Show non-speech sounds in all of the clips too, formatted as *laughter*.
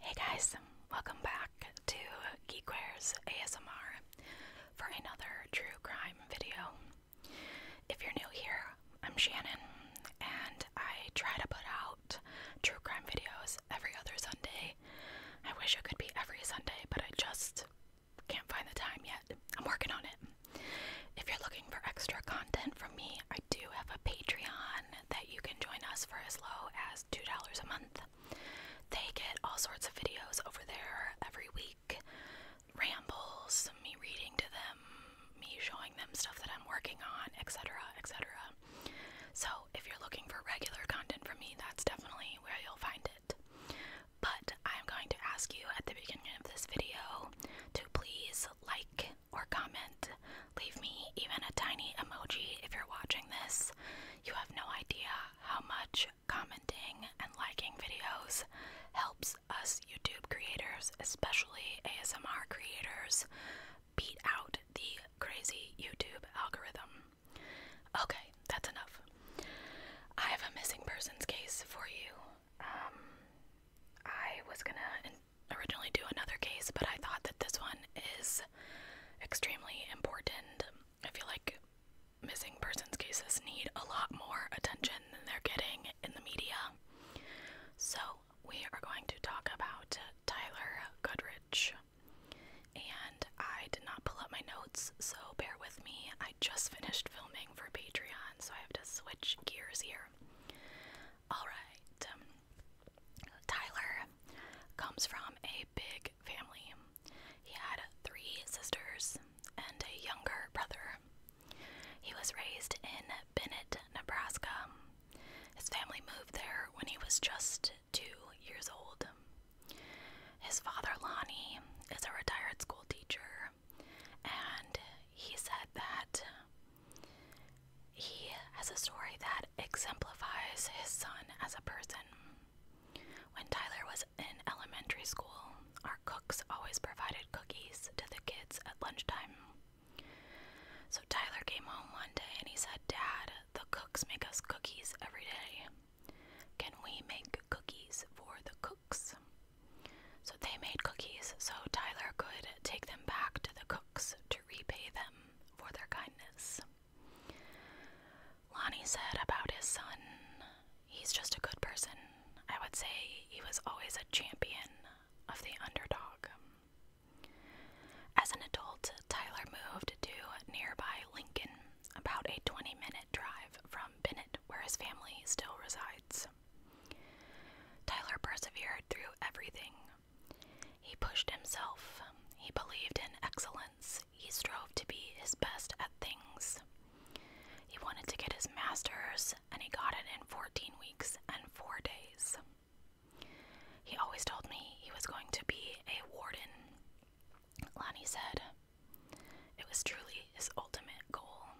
Hey guys, welcome back to Geekware's ASMR for another true crime video. If you're new here, I'm Shannon and I try to put out true crime videos every other Sunday. I wish it could be every Sunday, but I just can't find the time yet. I'm working on it. If you're looking for extra content from me, I do have a Patreon that you can join us for as low as $2 a month. They get all sorts of videos over there every week rambles, me reading to them, me showing them stuff that I'm working on, etc., etc. So, if you're looking for regular content from me, that's definitely where you'll find it. But I'm going to ask you at the beginning of this video to please like or comment. Leave me even a tiny emoji if you're watching this. You have no idea how much commenting and liking videos helps us YouTube creators, especially ASMR creators, beat out the crazy YouTube algorithm. Okay, that's enough. I have a missing persons case for you. Um, I was gonna originally do another case, but I thought that this one is extremely important. I feel like missing persons cases need a lot more attention than they're getting in the media. So, we are going to talk about Tyler Goodrich. And I did not pull up my notes so bear with me. I just finished filming for Patreon, so I have to switch gears here. Alright, um, Tyler comes from a big family. He had three sisters and a younger brother. He was raised in Bennett, Nebraska. His family moved there when he was just two years old. His father, Lonnie, is a retired school teacher, and he said that he has a story that exemplifies his son as a person. When Tyler was in elementary school, our cooks always provided cookies to the kids at lunchtime. So Tyler came home one day and he said, Dad, the cooks make us cookies every day. Can we make cookies for the cooks. So they made cookies so Tyler could take them back to the cooks to repay them for their kindness. Lonnie said about his son, he's just a good person. I would say he was always a champion of the underdog. As an adult, Tyler moved to nearby Lincoln, about a 20 minute drive from Bennett, where his family still resides. Tyler persevered through everything. He pushed himself. He believed in excellence. He strove to be his best at things. He wanted to get his master's, and he got it in 14 weeks and 4 days. He always told me he was going to be a warden. Lonnie said. It was truly his ultimate goal.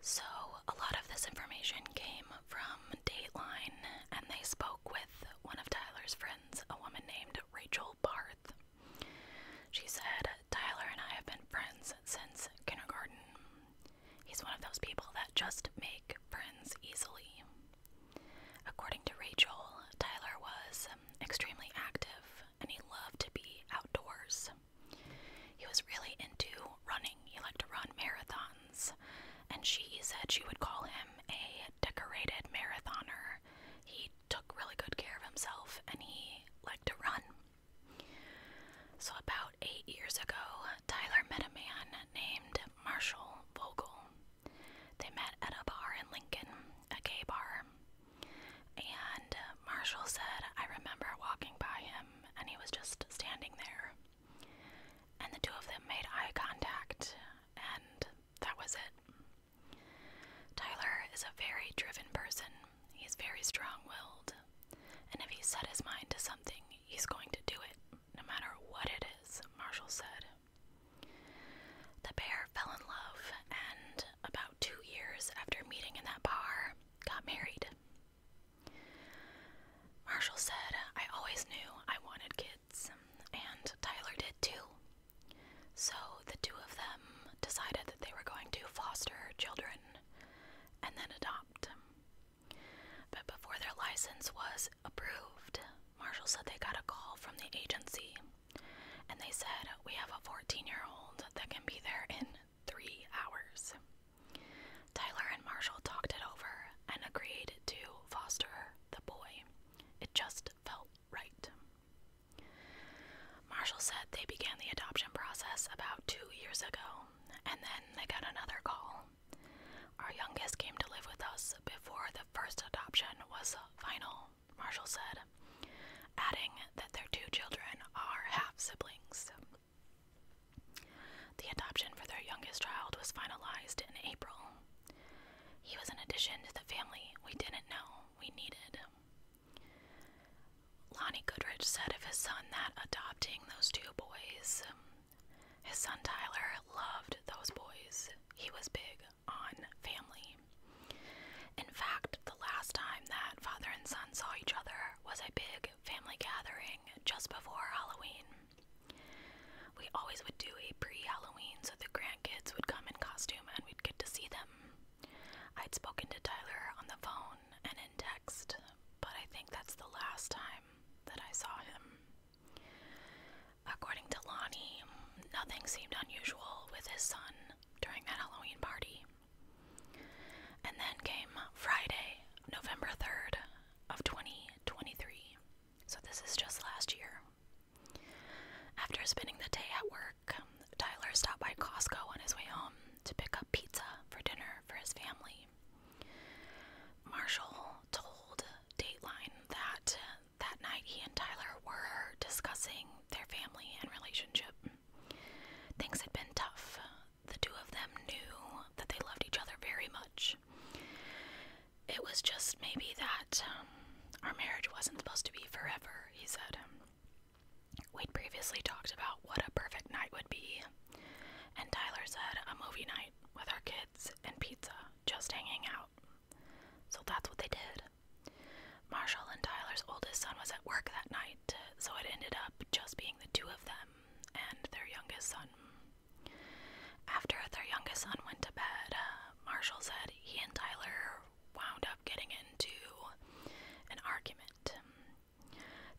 So, a lot of this information came from Dateline, and they spoke with one of Tyler's friends, a woman named Rachel Barth. She said, Tyler and I have been friends since kindergarten. He's one of those people that just make friends easily. According to Rachel, Tyler was um, extremely active and he loved to be outdoors. He was really into running. He liked to run marathons, and she said she would call him a decorated marathoner. He took really good care of himself and he liked to run. So, about eight years ago, Tyler met a man named Marshall Vogel. They met at a bar in Lincoln, a gay bar. And uh, Marshall said, I remember walking by him and he was just standing there. And the two of them made eye contact, and that was it. Tyler is a very driven person, he's very strong willed. And if he set his mind to something, he's going to do it, no matter what it is, Marshall said. The pair fell in love, and about two years after meeting in that bar, got married. Marshall said, I always knew I wanted kids, and Tyler did too. So the two of them decided that they were going to foster children and then adopt. But before their license was approved, Marshall said they got a call from the agency and they said, We have a 14 year old that can be there in three hours. Tyler and Marshall talked it over and agreed to foster the boy. It just felt right. Marshall said they began the adoption process about two years ago, and then they got another call. Our youngest came to live with us before the first adoption was final. Marshall said, adding that their two children are half siblings. The adoption for their youngest child was finalized in April. He was an addition to the family we didn't know we needed. Lonnie Goodrich said of his son that adopting those two boys, his son Tyler loved those boys. He was big on family. In fact, the last time that father and son saw each other was a big family gathering just before Halloween. We always would do a pre Halloween so the grandkids would come in costume and we'd get to see them. I'd spoken to Tyler on the phone and in text, but I think that's the last time that I saw him. According to Lonnie, nothing seemed unusual with his son, during that Halloween party. And then came Friday, November 3rd of 2023. So this is just last year. After spending the day at work, Tyler stopped by Costco on his way home to pick up pizza for dinner for his family. Marshall told Dateline that that night he and Tyler were discussing their family and relationship. Things had been tough. The two of them knew that they loved each other very much. It was just maybe that um, our marriage wasn't supposed to be forever, he said. We'd previously talked about what a perfect night would be, and Tyler said a movie night with our kids and pizza, just hanging out. So that's what they did. Marshall and Tyler's oldest son was at work that night, so it ended up just being the two of them and their youngest son. After their youngest son went to bed, uh, Marshall said he and Tyler wound up getting into an argument.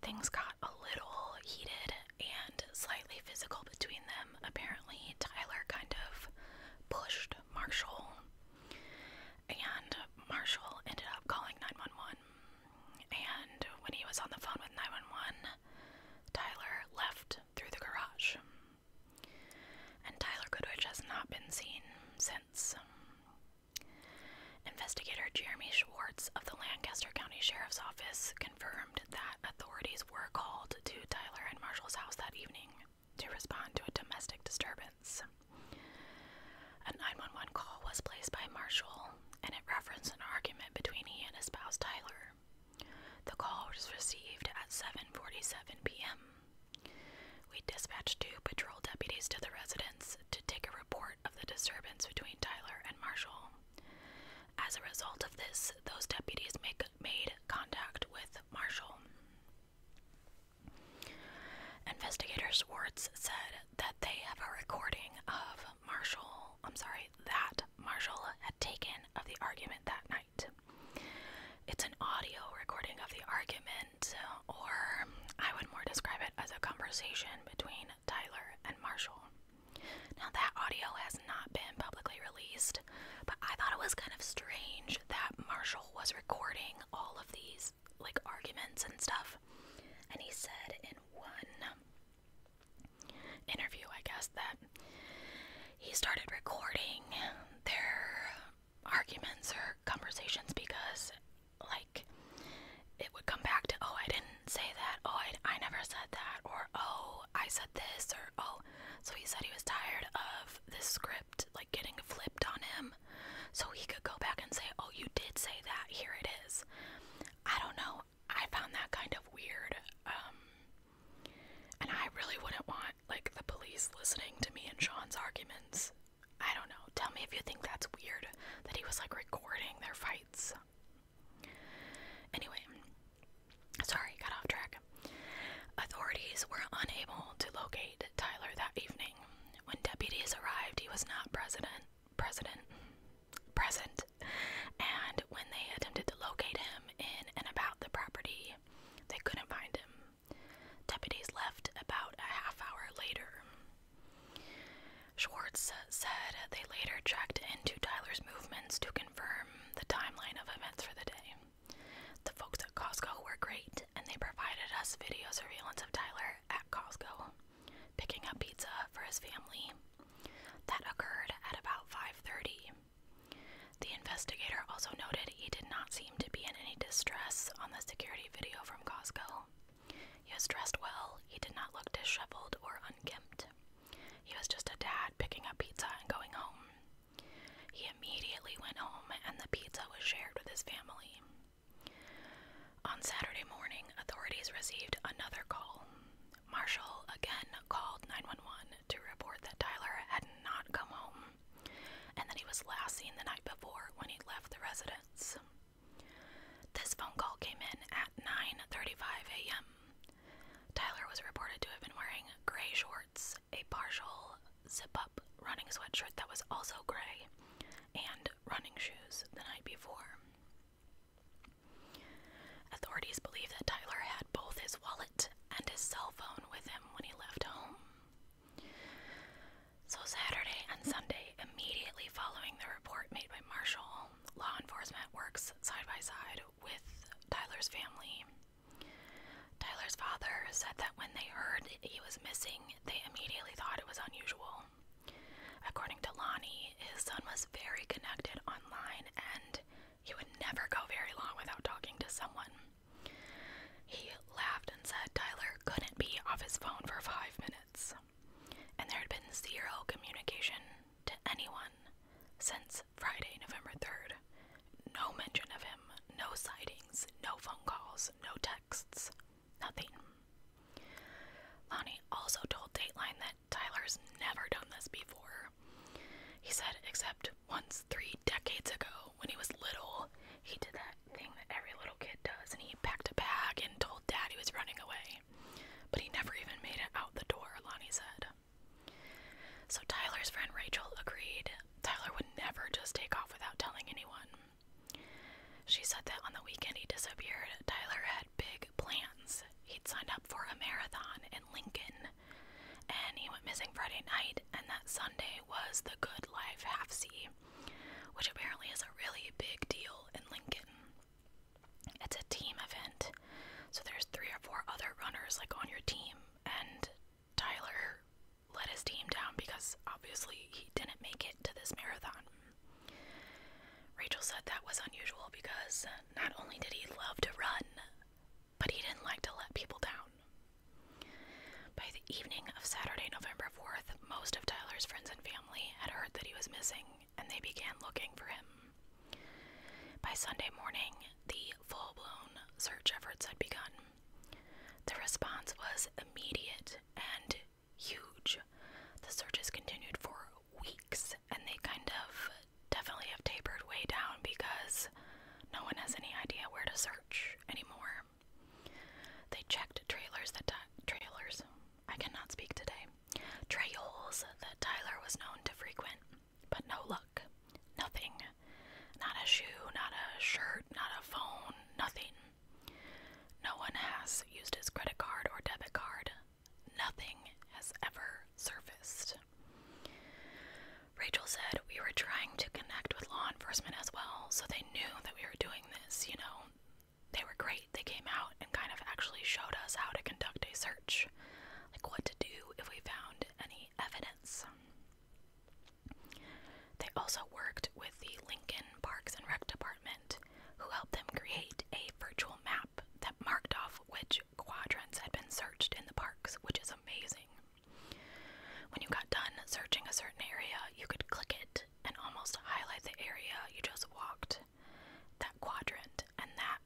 Things got a little heated and slightly physical between them. Apparently, Tyler kind of pushed Marshall, and Marshall ended up calling 911. And when he was on the phone with 911, Tyler left through the garage. And Tyler Goodrich has not been seen since. Investigator Jeremy Schwartz of the Lancaster County Sheriff's Office confirmed that authorities were called to Tyler and Marshall's house that evening to respond to a domestic disturbance. A 911 call was placed by Marshall, and it referenced an argument between he and his spouse Tyler. The call was received at 7:47 p.m. We dispatched two patrol deputies to the residence to take a report of the disturbance between Tyler and Marshall. As a result of this, those deputies made contact with Marshall. Investigator Schwartz said that they have a recording of Marshall, I'm sorry, that Marshall had taken of the argument that night. It's an audio recording of the argument, or I would more describe it as a conversation between Tyler and Marshall. Now, that audio has not been publicly released, but I thought it was kind of strange that Marshall was recording all of these like arguments and stuff. And he said in one interview, I guess, that he started recording their arguments or conversations because, like, it would come back to, oh, I didn't say that, oh, I, I never said that, or oh, I said this, or oh. So he said he was tired of this script like getting flipped on him so he could go back and say, Oh, you did say that, here it is. I don't know. I found that kind of weird. Um, and I really wouldn't want like the police listening to me and Sean's arguments. I don't know. Tell me if you think that's weird that he was like recording their fights. Anyway, sorry, got off track. Authorities were unable to locate Tyler that evening. When deputies arrived, he was not president, president, present, and when they attempted to locate him in and about the property, they couldn't find him. Deputies left about a half hour later. Schwartz said they later checked into Tyler's movements to confirm the timeline of events for the day. The folks at Costco were great and they provided us video surveillance of Tyler at Costco picking up pizza for his family. That occurred at about 5:30. The investigator also noted he did not seem to be in any distress on the security video from Costco. He was dressed well, he did not look disheveled or unkempt. He was just a dad picking up pizza and going home. He immediately went home, and the pizza was shared with his family. On Saturday morning, authorities received another call. Marshall again called 911 to report that Tyler had not come home and that he was last seen the night before when he left the residence. This phone call came in at 9:35 a.m. Tyler was reported to have been wearing gray shorts, a partial zip up running sweatshirt that was also gray and running shoes the night before. Authorities believe that Tyler had both his wallet and his cell phone with him when he left home. So, Saturday and Sunday, immediately following the report made by Marshall, law enforcement works side by side with Tyler's family. Tyler's father said that when they heard he was missing, they immediately thought it was unusual. According to Lonnie, his son was very connected online and he would never go very long without talking to someone. He laughed and said Tyler couldn't be off his phone for five minutes. And there had been zero communication to anyone since Friday, November 3rd. No mention of him, no sightings, no phone calls, no text Nothing. Lonnie also told Dateline that Tyler's never done this before. He said, except once three decades ago when he was little, he did that thing that every little kid does and he packed a bag and told dad he was running away. But he never even made it out the door, Lonnie said. So Tyler's friend Rachel agreed Tyler would never just take off without telling anyone. She said that on the weekend he disappeared, Tyler had big plans. He'd signed up for a marathon in Lincoln, and he went missing Friday night, and that Sunday was the Good Life Half C, which apparently is a really big deal in Lincoln. It's a team event, so there's three or four other runners like on your team, and Tyler let his team down because obviously he didn't make it to this marathon. Rachel said that was unusual because not only did he love to run, but he didn't like to let people down. By the evening of Saturday, November 4th, most of Tyler's friends and family had heard that he was missing and they began looking for him. By Sunday morning, the full blown search efforts had begun. The response was immediate and huge. The searches continued for weeks and they kind of definitely have tapered way down because no one has any idea where to search anymore. They checked trailers that trailers. I cannot speak today. Trails that Tyler was known to frequent, but no luck. Nothing. Not a shoe, not a shirt, not a phone, nothing. No one has used his credit card or debit card. Nothing has ever surfaced. Rachel said, We were trying to connect with law enforcement as well, so they knew that we were doing this. You know, they were great. They came out and kind of actually showed us how to conduct a search, like what to do if we found any evidence. They also worked with the Lincoln Parks and Rec Department, who helped them create a virtual map that marked off which quadrants had been searched in the parks, which is amazing. When you got done searching a certain area, you could click it and almost highlight the area you just walked, that quadrant, and that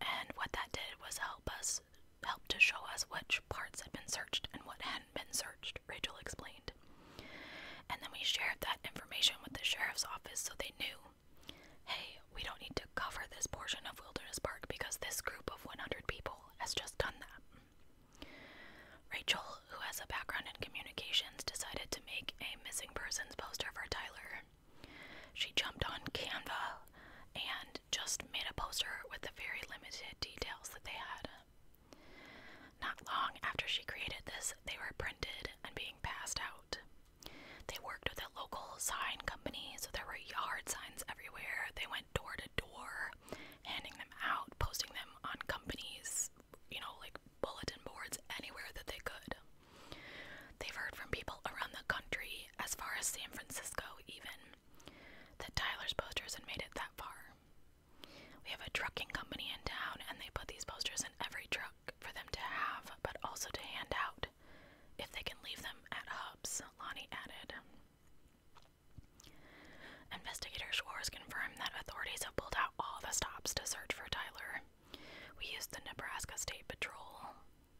and what that did was help us help to show us which parts had been searched and what had not been searched, Rachel explained. And then we shared that information with the sheriff's office so they knew hey, we don't need to cover this portion of Wilderness Park because this group of 100 people has just done that. Rachel, who has a background in communications, decided to make a missing persons poster for Tyler. She jumped on Canva and just made a poster with the very limited details that they had. Not long after she created this, they were printed and being passed out. They worked with a local sign company, so there were yard signs everywhere. They went door to door, handing them out, posting them on companies, you know, like bulletin boards, anywhere that they could. They've heard from people around the country, as far as San Francisco, even, that Tyler's posters had made it that far. We have a trucking company in town, and they put these posters in every truck for them to have, but also to hand out if they can leave them at hubs, Lonnie added. Investigator Shores confirmed that authorities have pulled out all the stops to search for Tyler. We used the Nebraska State Patrol.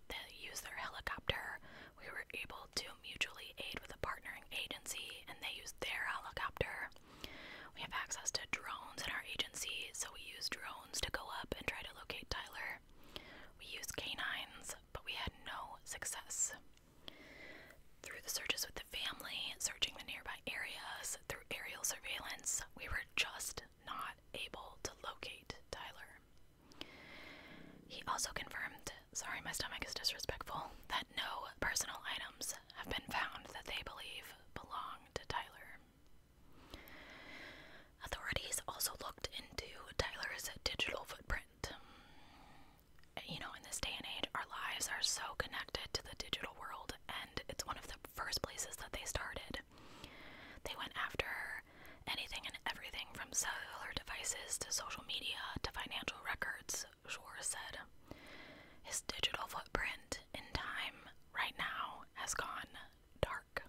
They used their helicopter. We were able to mutually aid with a partnering agency, and they used their helicopter. We have access to drones in our agency, so we use drones to go up and try to locate Tyler. We use canines, but we had no success. Through the searches with the family, searching the nearby areas, through aerial surveillance, we were just not able to locate Tyler. He also confirmed sorry, my stomach is disrespectful that no personal items have been found that they believe belong to Tyler. Authorities also looked into Tyler's digital footprint. You know, in this day and age, our lives are so connected to the digital world, and it's one of the first places that they started. They went after anything and everything from cellular devices to social media to financial records, Schwartz said. His digital footprint in time right now has gone dark.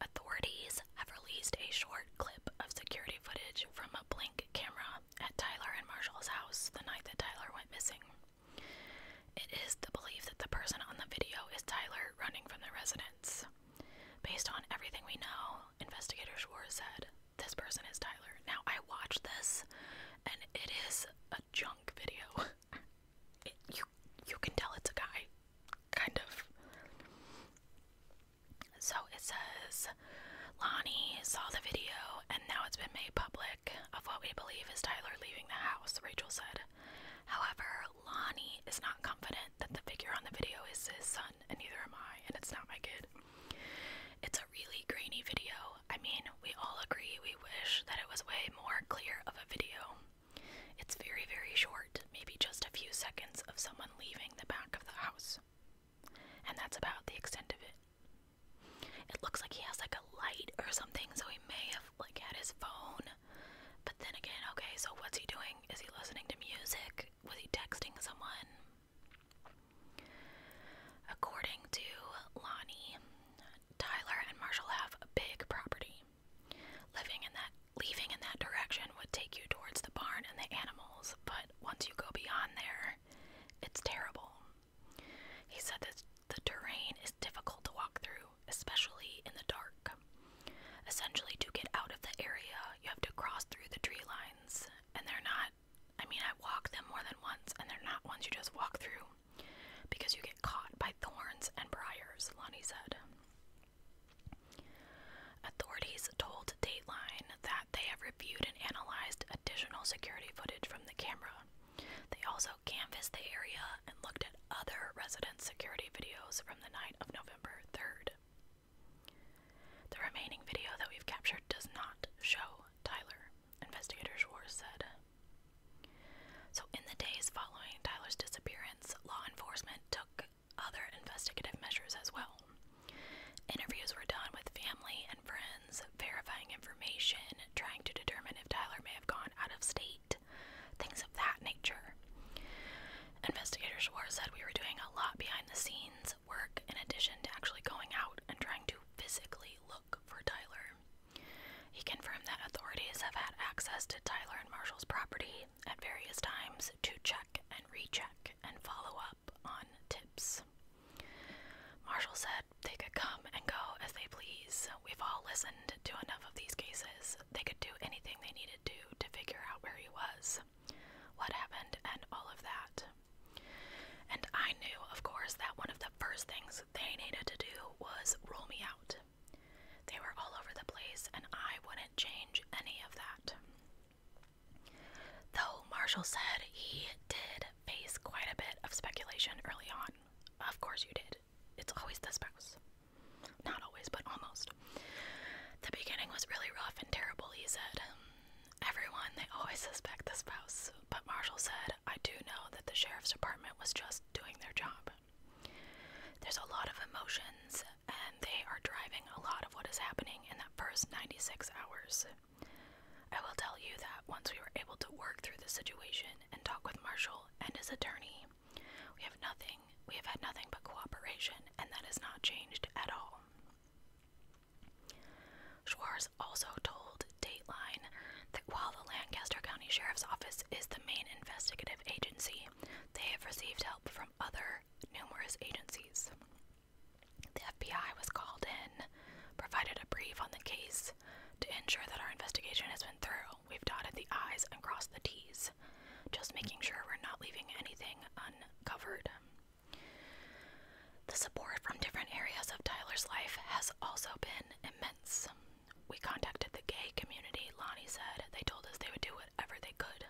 Authorities have released a short clip of security footage from a blink camera at Tyler and Marshall's house the night that Tyler went missing. It is the belief that the person on the video is Tyler running from the residence. Based on everything we know, investigators," Schwartz said, this person is Tyler. Now I watched this and it is a junk video. *laughs* it, you you can tell it's a guy kind of. So it says Lonnie saw the video and now it's been made public of what we believe is Tyler leaving the house, Rachel said. However, Lonnie is not confident that the figure on the video is his son, and neither am I, and it's not my kid. It's a really grainy video I mean, we all agree we wish that it was way more clear of a video. It's very, very short, maybe just a few seconds of someone leaving the back of the house. And that's about the extent of it. It looks like he has like a light or something, so he may have like had his phone. But then again, okay, so what's he doing? Is he listening to music? Was he texting someone? According to Lonnie, Tyler and Marshall have a big property. Living in that leaving in that direction would take you towards the barn and the animals, but once you go beyond there, it's terrible. He said that the terrain is difficult to walk through, especially in the dark. Essentially, to get out of the area, you have to cross through the tree lines, and they're not I mean, I walk them more than once, and they're not ones you just walk through because you get caught by thorns and briars, Lonnie said. Authorities told Dateline that they have reviewed and analyzed additional security footage from the camera. They also canvassed the area and looked at other resident security videos from the night of November 3rd. The remaining video that we've captured does not show Tyler. Investigator Schwartz said. So, in the days following Tyler's disappearance, law enforcement took other investigative measures as well. Interviews were done with family and friends, verifying information, trying to determine if Tyler may have gone out of state, things of that nature. Investigator Schwartz said we were doing a lot behind the scenes work in addition to actually going out and trying to physically look for Tyler. He confirmed that authorities have had access to Tyler and Marshall's property at various times to check and recheck and follow up on tips. Marshall said they could come and go as they please. We've all listened to enough of these cases. They could do anything they needed to to figure out where he was, what happened, and all of that. And I knew, of course, that one of the first things they needed to do was rule me out. They were all over the place, and I wouldn't change any of that. Though Marshall said he did face quite a bit of speculation early on. Of course, you did. It's always the spouse. Not always, but almost. The beginning was really rough and terrible, he said. Everyone, they always suspect the spouse, but Marshall said I do know that the sheriff's department was just doing their job. There's a lot of emotions, and they are driving a lot of what is happening in that first 96 hours. I will tell you that once we were able to work through the situation and talk with Marshall and his attorney, we have nothing, we have had nothing but cooperation, and that has not changed at all. Schwar also told Dateline that while the Lancaster County Sheriff's Office is the main investigative agency, they have received help from other numerous agencies. The FBI was called in, provided a brief on the case to ensure that our investigation has been thorough. We've dotted the I's and crossed the T's, just making sure we're not leaving anything uncovered. The support from different areas of Tyler's life has also been immense. We contacted the gay community, Lonnie said. They told us they would do whatever they could.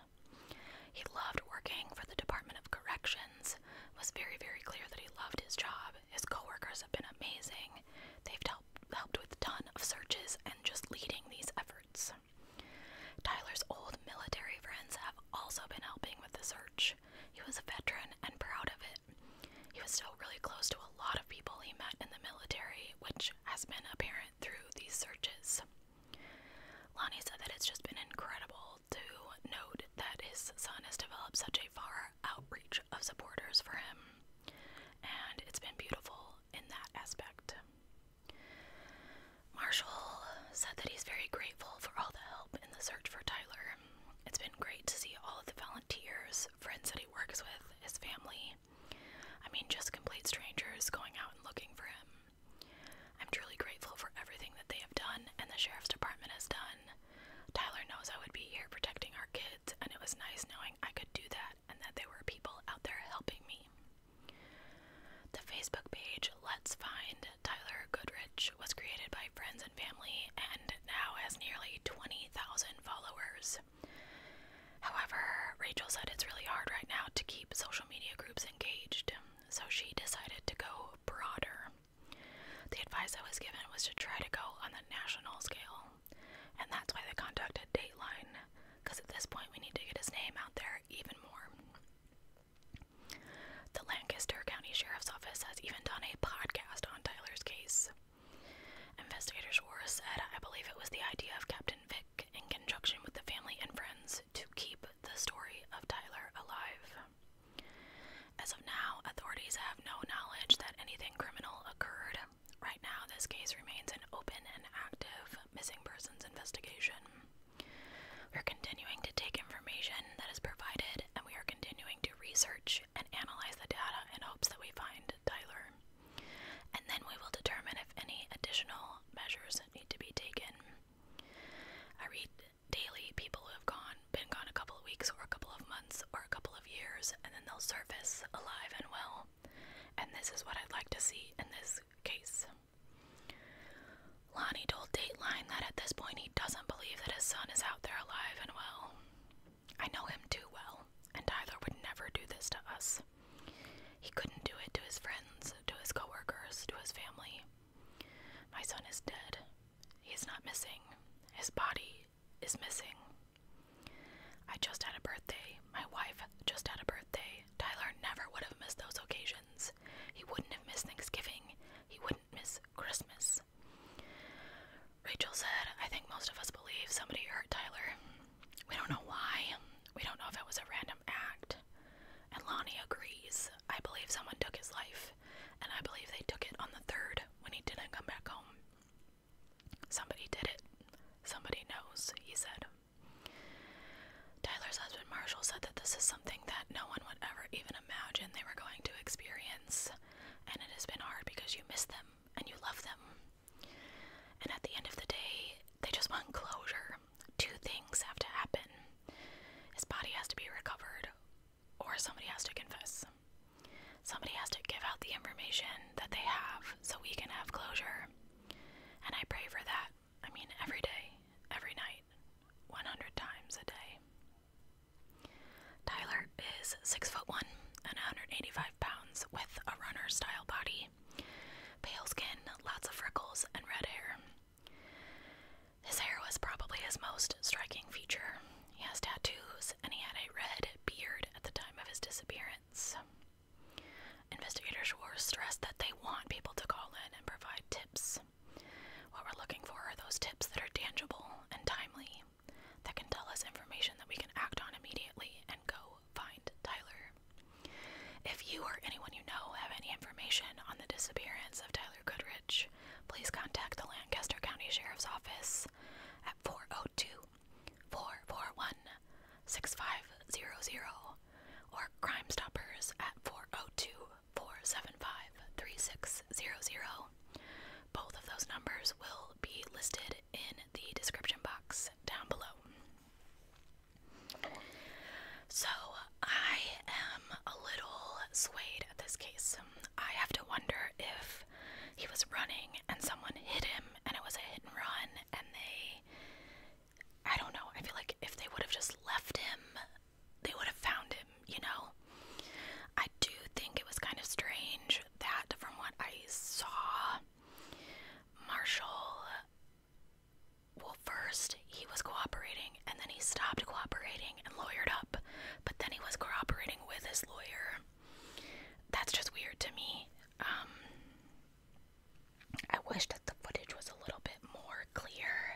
He loved working for the Department of Corrections. was very, very clear that he loved his job. His coworkers have been amazing. They've helped helped with a ton of searches and just leading these efforts. Tyler's old military friends have also been helping with the search. He was a veteran and proud of he was still really close to a lot of people he met in the military, which has been apparent through these searches. Lonnie said that it's just been incredible to note that his son has developed such a far outreach of supporters for him, and it's been beautiful in that aspect. Marshall said that he's very grateful for all the help in the search for Tyler. It's been great to see all of the volunteers volunteers, friends that he works with, his family. I mean, just complete strangers going out and looking for him. I'm truly grateful for everything that they have done and the sheriff's department has done. Tyler knows I would be here protecting our kids, and it was nice knowing I could do that and that there were people out there helping me. The Facebook page Let's Find Tyler Goodrich which was created by friends and family and now has nearly 20,000 followers. However, Rachel said it's really hard right now to keep social media groups engaged, so she decided to go broader. The advice I was given was to try to go on the national scale, and that's why they contacted Dateline, because at this point we need to get his name out there even more. The Lancaster County Sheriff's Office has even done a podcast on Tyler's case, Investigators were said, I believe it was the idea of Captain Vic in conjunction with the family and friends to keep the story of Tyler alive. As of now, authorities have no knowledge that anything criminal occurred. Right now, this case remains an open and active missing persons investigation. We're continuing to take information that is provided and we are continuing to research and analyze the data in hopes that we find Tyler. And then we will determine if any additional measures need to be taken. I read daily people who have gone, been gone a couple of weeks or a couple of months or a couple of years, and then they'll surface alive and well. And this is what I'd like to see in this case. Lonnie told Dateline that at this point he doesn't believe that his son is out there alive and well. I know him too well, and Tyler would never do this to us. He couldn't do it to his friends, to his coworkers, to his family. My son is dead. He's not missing. His body is missing. I just had a birthday. My wife just had a birthday. Tyler never would have missed those occasions. He wouldn't have missed Thanksgiving. He wouldn't miss Christmas. Rachel said, I think most of us believe somebody hurt Tyler. We don't know why. We don't know if it was a random act. And Lonnie agrees. I believe someone took his life, and I believe they took it on the third when he didn't come back home. Somebody did it. Somebody knows, he said. Tyler's husband Marshall said that this is something that no one would ever even imagine they were going to experience and it has been hard because you miss them and you love them. And at the end of the day, they just want closure. Two things have to happen his body has to be recovered, or somebody has to confess. Somebody has to give out the information that they have so we can have closure. And I pray for that. I mean, every day, every night, 100 times a day. Tyler is six foot one and 185 pounds with a runner style body, pale skin, lots of freckles, and red hair. His hair was probably his most striking feature. He has tattoos and he had a red beard at the time of his disappearance. Investigators were stressed that they want people to call in and provide tips. What we're looking for are those tips that are tangible and timely that can tell us information that we can act on immediately and go find Tyler. If you or anyone you know have any information on the disappearance of Tyler Goodrich, please contact the Lancaster County Sheriff's Office at 402 441 6500 or Crime Stoppers at 402 475 3600 both of those numbers will be listed in the description box down below. So, I am a little swayed at this case. I have to wonder if he was running and someone hit him and it was a hit and run, and they. I don't know. I feel like if they would have just left him, they would have found him, you know? I do think it was kind of strange that, from what I saw, Marshall, well, first he was cooperating and then he stopped cooperating and lawyered up, but then he was cooperating with his lawyer. That's just weird to me. Um, I wish that the footage was a little bit more clear,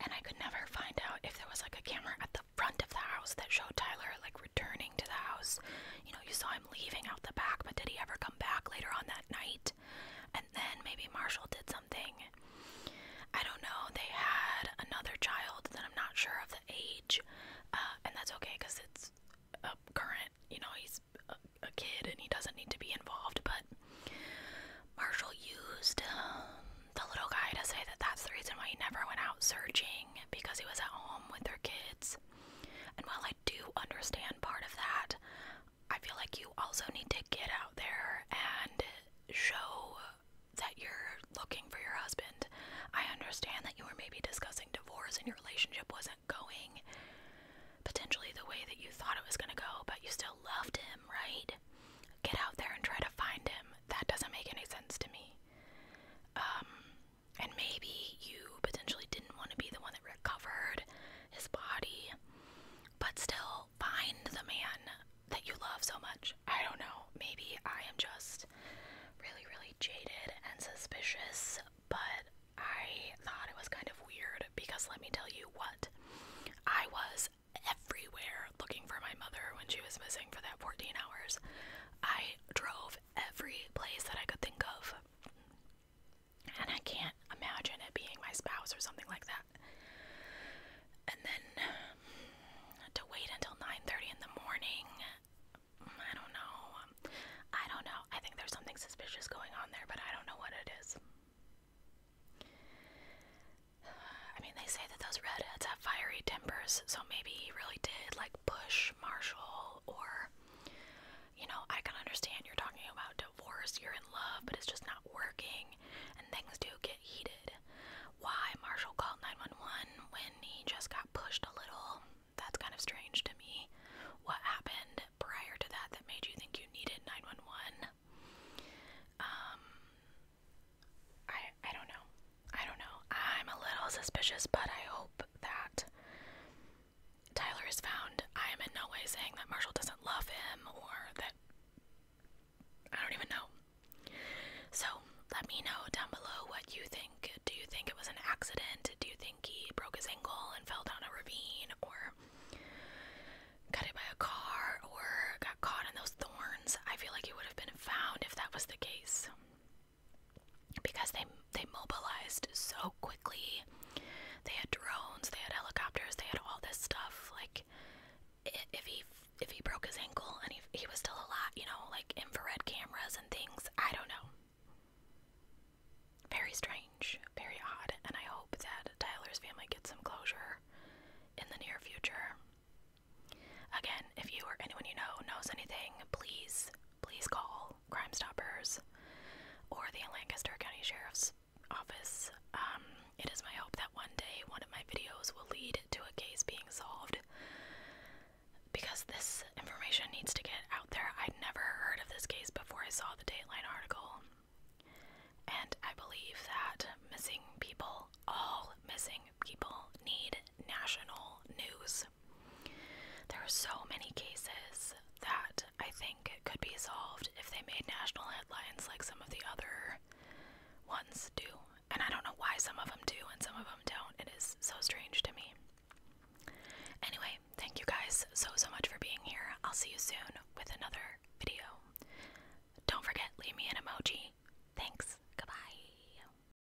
and I could never find out if there was like a camera at the front of the house that showed Tyler like returning to the house. You know, you saw him leaving out the back, but did he ever come back later on that night? And then maybe Marshall did something. I don't know. They had another child that I'm not sure of the age, uh, and that's okay because it's a current. You know, he's a, kid and he doesn't need to be involved. But Marshall used um, the little guy to say that that's the reason why he never went out searching because he was at home with their kids. And while I do understand part of that, I feel like you also need to get out there and show that you're looking for your husband. I understand that you were maybe discussing divorce and your relationship wasn't going potentially the way that you thought it was going to go, but you still loved him, right? Get out there and try to find him. That doesn't make any sense to me. Um, and maybe you potentially didn't want to be the one that recovered his body, but still find the man that you love so much. I don't know. Maybe I am just really, really jaded and suspicious, but I thought it was kind of weird because let me tell you what, I was everywhere looking for my mother when she was missing for that 14 hours. I drove every place that I could think of. And I can't imagine it being my spouse or something like that. And then um, to wait until 9:30 in the morning, I don't know. I don't know. I think there's something suspicious going on there, but I don't know what it is. I mean, they say that those redheads have fiery tempers, so maybe he really did like Bush, Marshall, or you know, I can understand you're talking about divorce, you're in love, but it's just not working, and things do get heated. Why Marshall called 911 when he just got pushed a little, that's kind of strange to me. What happened prior to that that made you think you needed 911? Um, I, I don't know. I don't know. I'm a little suspicious, but I hope that Tyler is found. I am in no way saying that Marshall doesn't love him or that I don't even know. So let me know down below what you think. Do you think it was an accident? Do you think he broke his ankle and fell down a ravine or cut it by a car or got caught in those thorns? I feel like he would have been found if that was the case because they they mobilized so quickly. They had drones, they had helicopters, they had all this stuff. Like if he if he broke his ankle and he he was still alive, you know, like infrared cameras and things. I don't know. Very strange, very odd, and I hope that Tyler's family gets some closure in the near future. Again, if you or anyone you know knows anything, please, please call Crime Stoppers or the Lancaster County Sheriff's Office. Um, it is my hope that one day one of my videos will lead to a case being solved because this information needs to get out there. I'd never heard of this case before I saw the Dateline article. And I believe that missing people, all missing people, need national news. There are so many cases that I think could be solved if they made national headlines like some of the other ones do. And I don't know why some of them do and some of them don't. It is so strange to me. Anyway, thank you guys so, so much for being here. I'll see you soon with another video. Don't forget, leave me an emoji. Thanks. Goodbye.